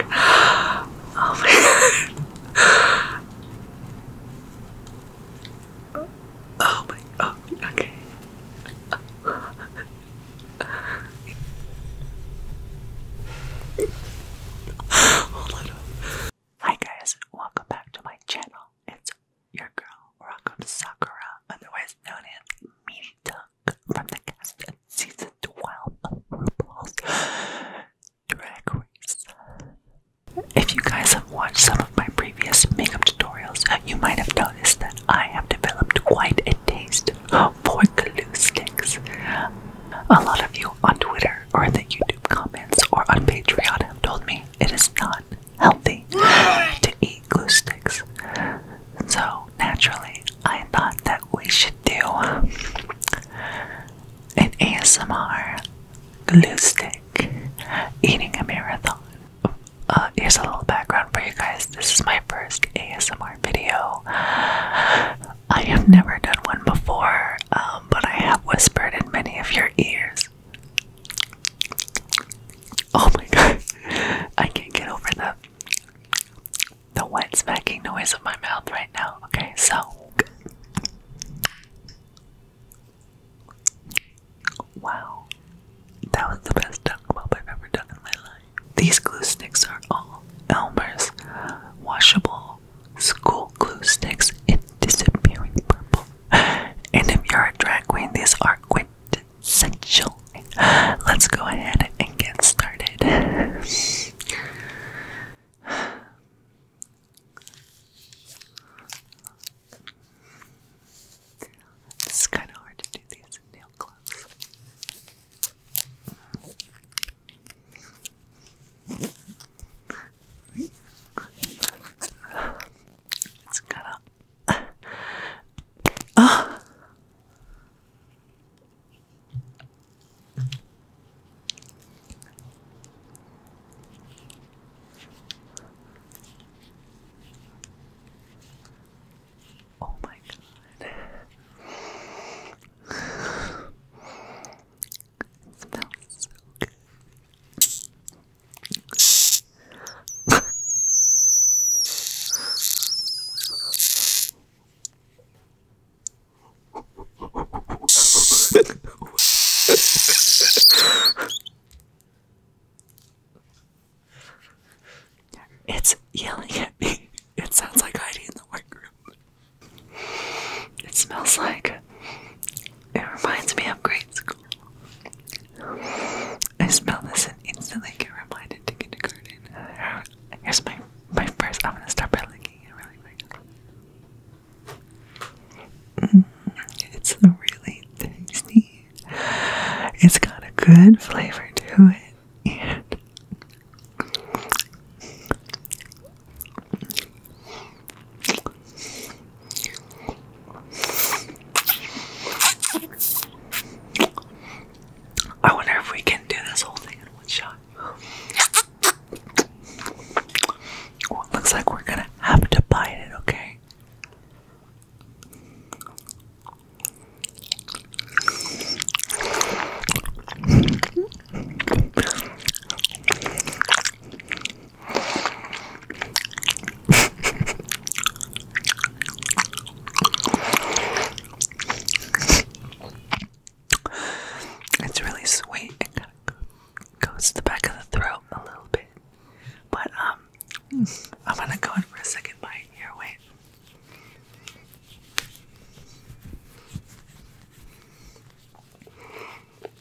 Oh my god. Oh my oh okay. Hi guys, welcome back to my channel. It's your girl, Rocco Sakura, otherwise known as Meaty Duck, from the cast of season 12 of RuPaul's Drag Race. If you guys have watched some of my previous makeup tutorials, you might have noticed that I have developed quite a taste for glue sticks. A lot of you on Twitter or in the YouTube comments or on Patreon have told me it is not healthy to eat glue sticks. So naturally, I thought that we should do an ASMR glue stick eating a marathon. Uh, here's a little background for you guys. This is my first ASMR video. I have never done one before, um, but I have whispered in many of your ears Oh my god. I can't get over the the wet smacking noise of my mouth right now. Okay, so Wow. That was the best duck pop I've ever done in my life. These glue sticks are all Elmer's washable school glue sticks in disappearing purple. And if you're a drag queen, these are quick essential. Let's go ahead and get started. It's kind of hard to do these nail gloves. It's kind of Ah. Oh. my god. smells good it's yelling at me. It sounds like Heidi in the workroom. It smells like it reminds me of grade school. I smell this and instantly get reminded to kindergarten. here's my my first. I'm gonna start by licking it really quick. Mm, it's really tasty. It's got a good flavor to it, I wonder if we can do this whole thing in one shot. looks like we're gonna have to bite it, okay? it's really sweet. It kind of goes to the back of the throat a little bit. But, um, I'm gonna go in for a second bite here. Wait.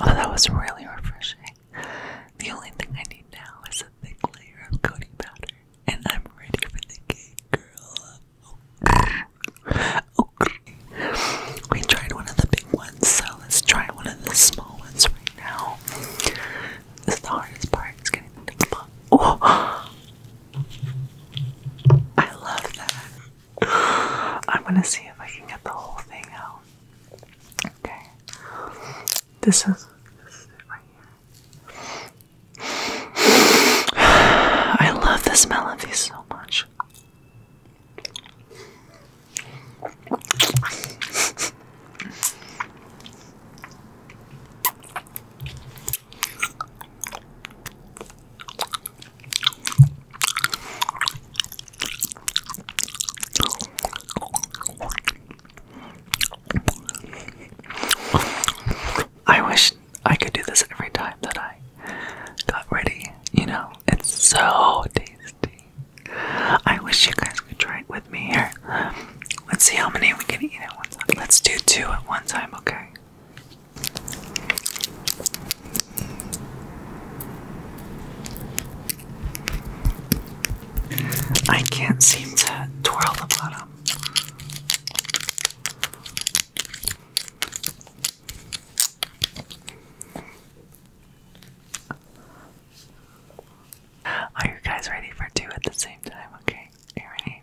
Oh, that was really refreshing. The only thing I need now is a thick layer of coating powder, and I'm ready for the cake, We tried one of the big ones, so let's try one of the small ones right now. This the hardest part, is getting the big Oh! I love that. I'm gonna see if I can get the whole thing out. Okay. This is, I love the smell of these so much. I wish I could do this every time that I got ready, you know, it's so tasty. I wish you guys could try it with me here. Let's see how many we can eat at one time. Let's do two at one time, okay? I can't seem to twirl the bottom. Are you guys ready for two at the same time? Okay, you ready?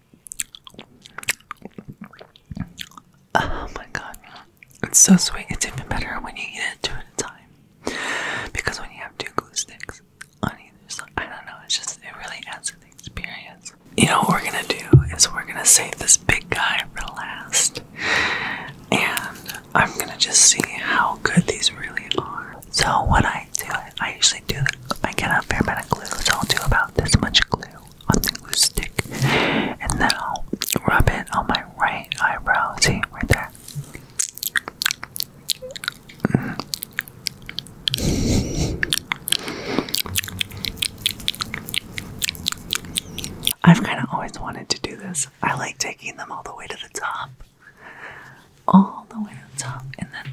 Oh my god. It's so sweet. It's even better when you eat it two at a time. Because when you have two glue sticks on either side, I don't know, it's just, it really adds to the experience. You know what we're gonna do is we're gonna save this big guy for last. And I'm gonna just see how good these really are. So, what I do I, usually do, I get a fair amount of glue, so I'll do about this much glue on the glue stick, and then I'll rub it on my right eyebrow, see, right there. Mm. I've kind of always wanted to do this. I like taking them all the way to the top, all the way to the top, and then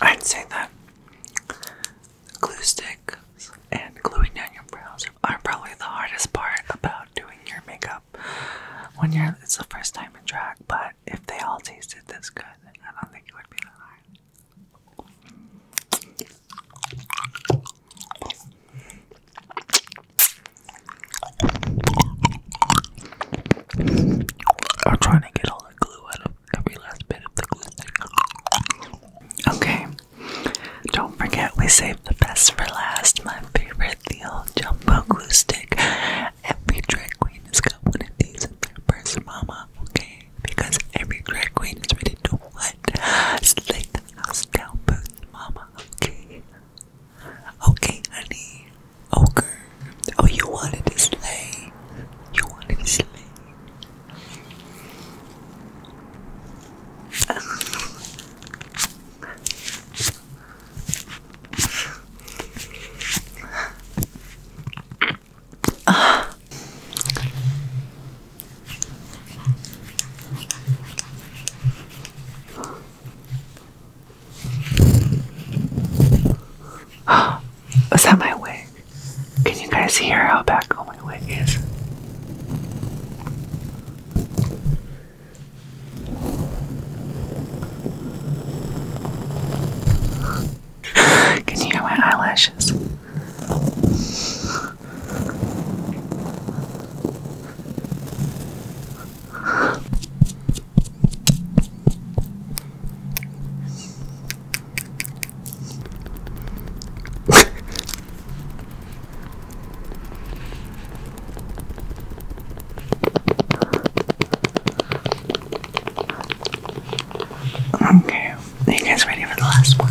I'd say that glue sticks and gluing down your brows are probably the hardest part about doing your makeup when you're it's the first time in drag. But if they all tasted this good, I don't think it would be that hard. I'm trying to get all the glue out of every last bit of the glue stick. Okay, don't forget we saved the best for last. My favorite, the old jumbo glue stick. Every drag queen has got one of these in their purse, mama. Okay, because every drag queen is ready to what? Slay the house down, boot, mama. Okay, okay, honey, ogre. Oh, you wanted to slay. You wanted to slay. Uh. Was that my wig? Can you guys hear how back on my wig is? Can you hear my eyelashes? okay, are you guys ready for the last one?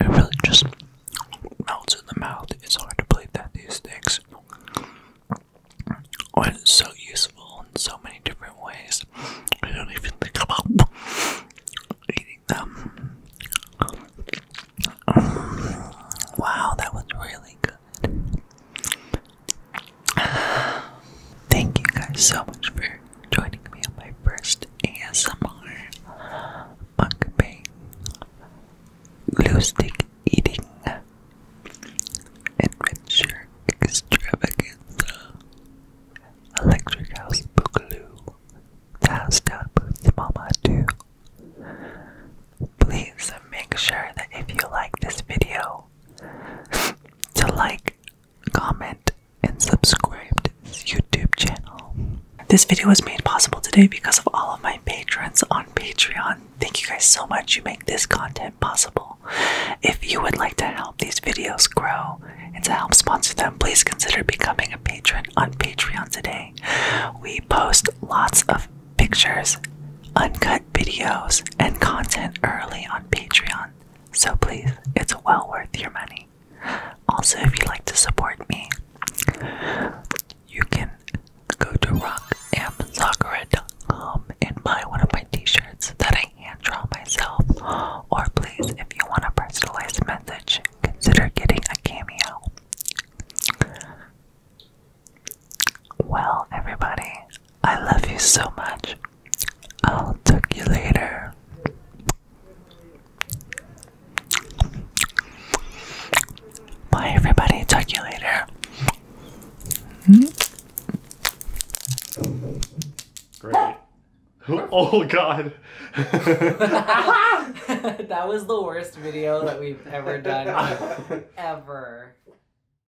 It really just melts in the mouth. It's hard to believe that these things are so useful in so many different ways. I don't even think about eating them. Wow, that was really good. Thank you guys so much for joining me on my first ASMR mukbang glue stick eating adventure extravaganza electric house boogaloo task up with mama too. Please make sure that if you like this video, to like, comment, and subscribe to this YouTube channel. This video was made possible today because of all of my patrons on Patreon. Thank you guys so much. You make this content possible. If you would like to help these videos grow and to help sponsor them, please consider becoming a patron on Patreon today. We post lots of pictures, uncut videos and content early on Patreon, so please, it's well worth your money. Also, if you'd like to support me, you can go to rockamzakara.com and buy one of my t-shirts that I hand draw myself. Or please, if you want a personalized message, consider getting a cameo. Well, everybody, I love you so much. I'll talk you later. Bye, everybody. Talk to you later. Oh, God. that was the worst video that we've ever done. Ever.